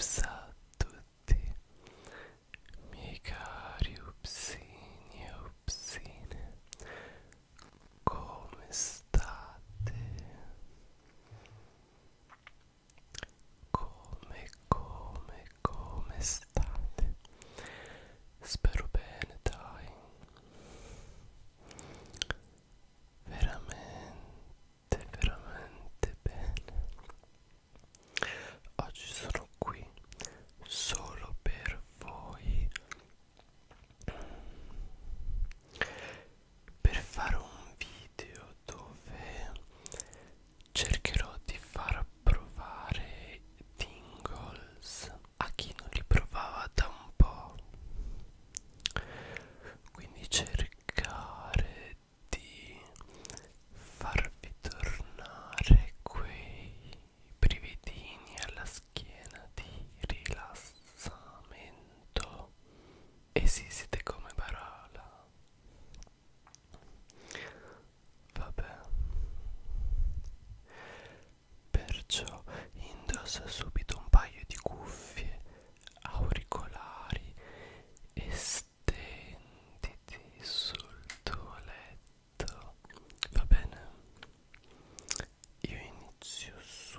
Upsa tutti, miei cari come state? Come, come, come state? Spero bene, dai. Veramente, veramente bene. Oggi sono qui solo per voi per fare un video dove cercherò di far provare tingles a chi non li provava da un po' quindi cercare di farvi tornare quei brividini alla schiena di rilassamento e sì siete come Barala Vabbè. Perciò indossa subito un paio di cuffie auricolari e stenditi sul tuo letto. Va bene? Io inizio subito.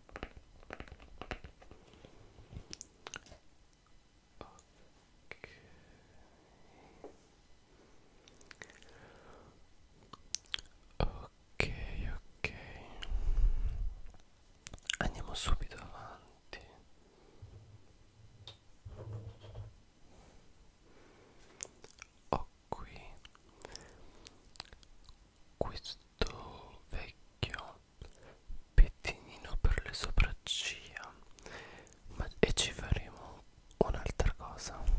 Ok. Ok, ok. Andiamo subito avanti. Ho qui questo vecchio pettinino per le sopracciglia ma, e ci faremo un'altra cosa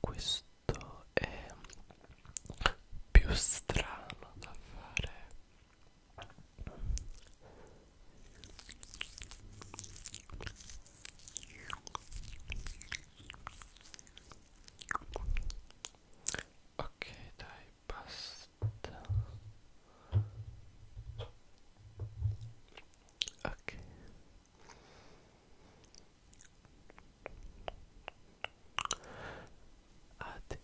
questo è più strano da fare ok dai basta ok adesso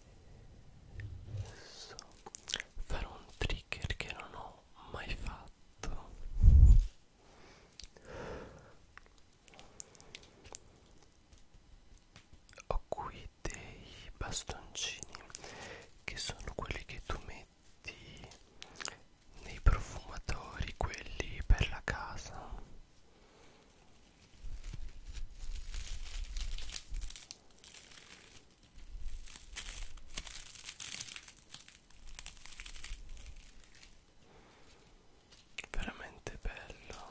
farò un trigger che non ho mai fatto ho qui dei bastoncini che sono quelli che tu metti di, nei profumatori, quelli per la casa. Veramente bello.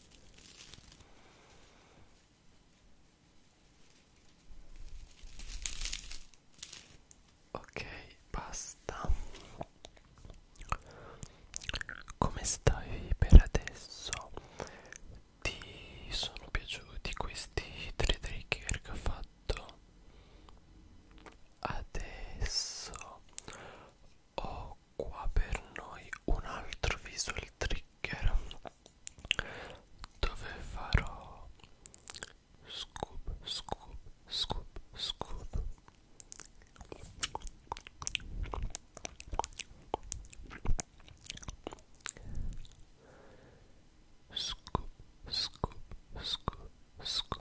Ok, basta. Come stai per adesso? Ti sono piaciuti questi tre trigger che ho fatto? Adesso ho Ecco qua per noi un altro visual trigger dove farò scoop scoop scoop scoop scoop scoop scoop scoop scoop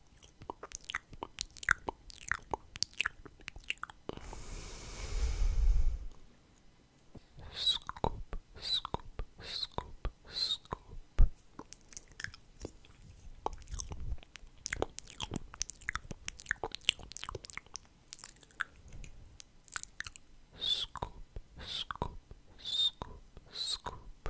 Scoop, scoop, scoop, scoop. Scoop, scoop, scoop, scoop.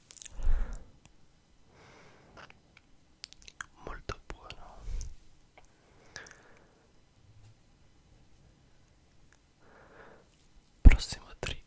molto buono prossimo trigger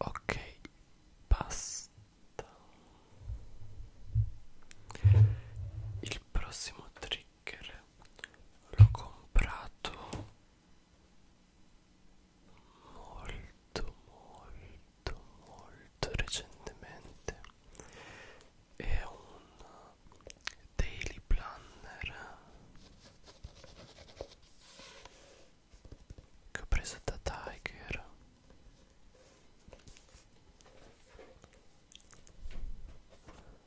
Ok, basta. Il prossimo trigger shaker l'ho comprato molto molto molto recentemente è un daily planner che ho preso da Tiger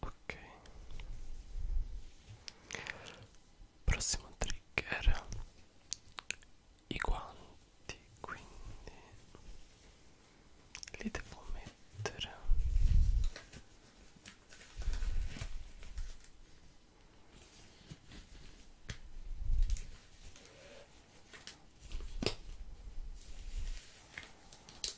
ok prossimo trigger i guanti quindi li devo mettere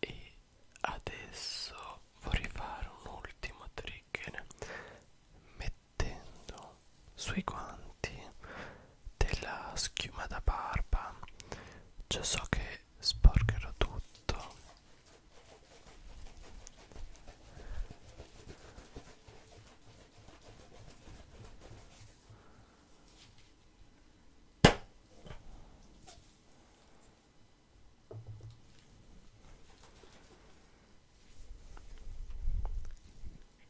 e adesso vorrei fare un ultimo trigger mettendo sui guanti della schiuma da barba già so che sporcherò tutto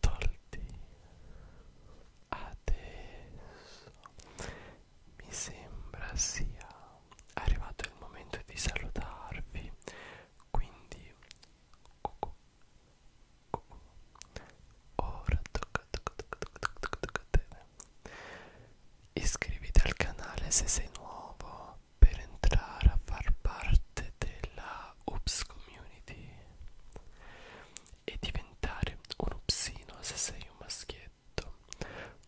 tolti adesso mi sembra sia arrivato il momento di salutarvi quindi cucù, cucù. ora tocca, tocca, tocca, tocca, tocca a te iscriviti al canale se sei nuovo per entrare a far parte della Oops Community e diventare un upsino se sei un maschietto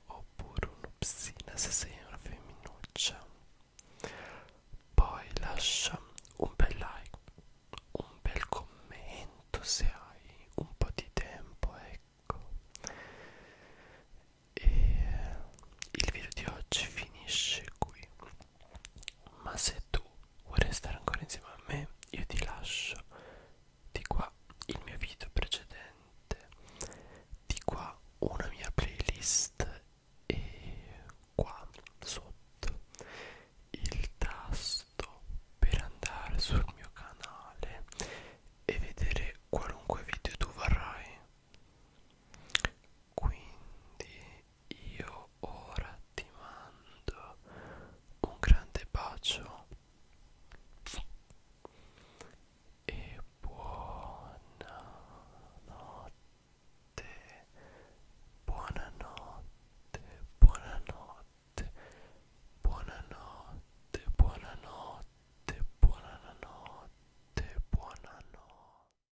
oppure un'upsina se sei una femminuccia poi lascia un bel like un bel commento se hai un po' di tempo ecco e il video di oggi finisce qui ma se tu vuoi restare ancora insieme a me io ti lascio di qua il mio video precedente di qua una mia playlist e qua sotto il tasto per andare sul mio canale e vedere qualunque video tu vorrai quindi io ora ti mando un grande bacio e buonanotte, buonanotte, buonanotte, buonanotte, buonanotte, buonanotte, buonanotte.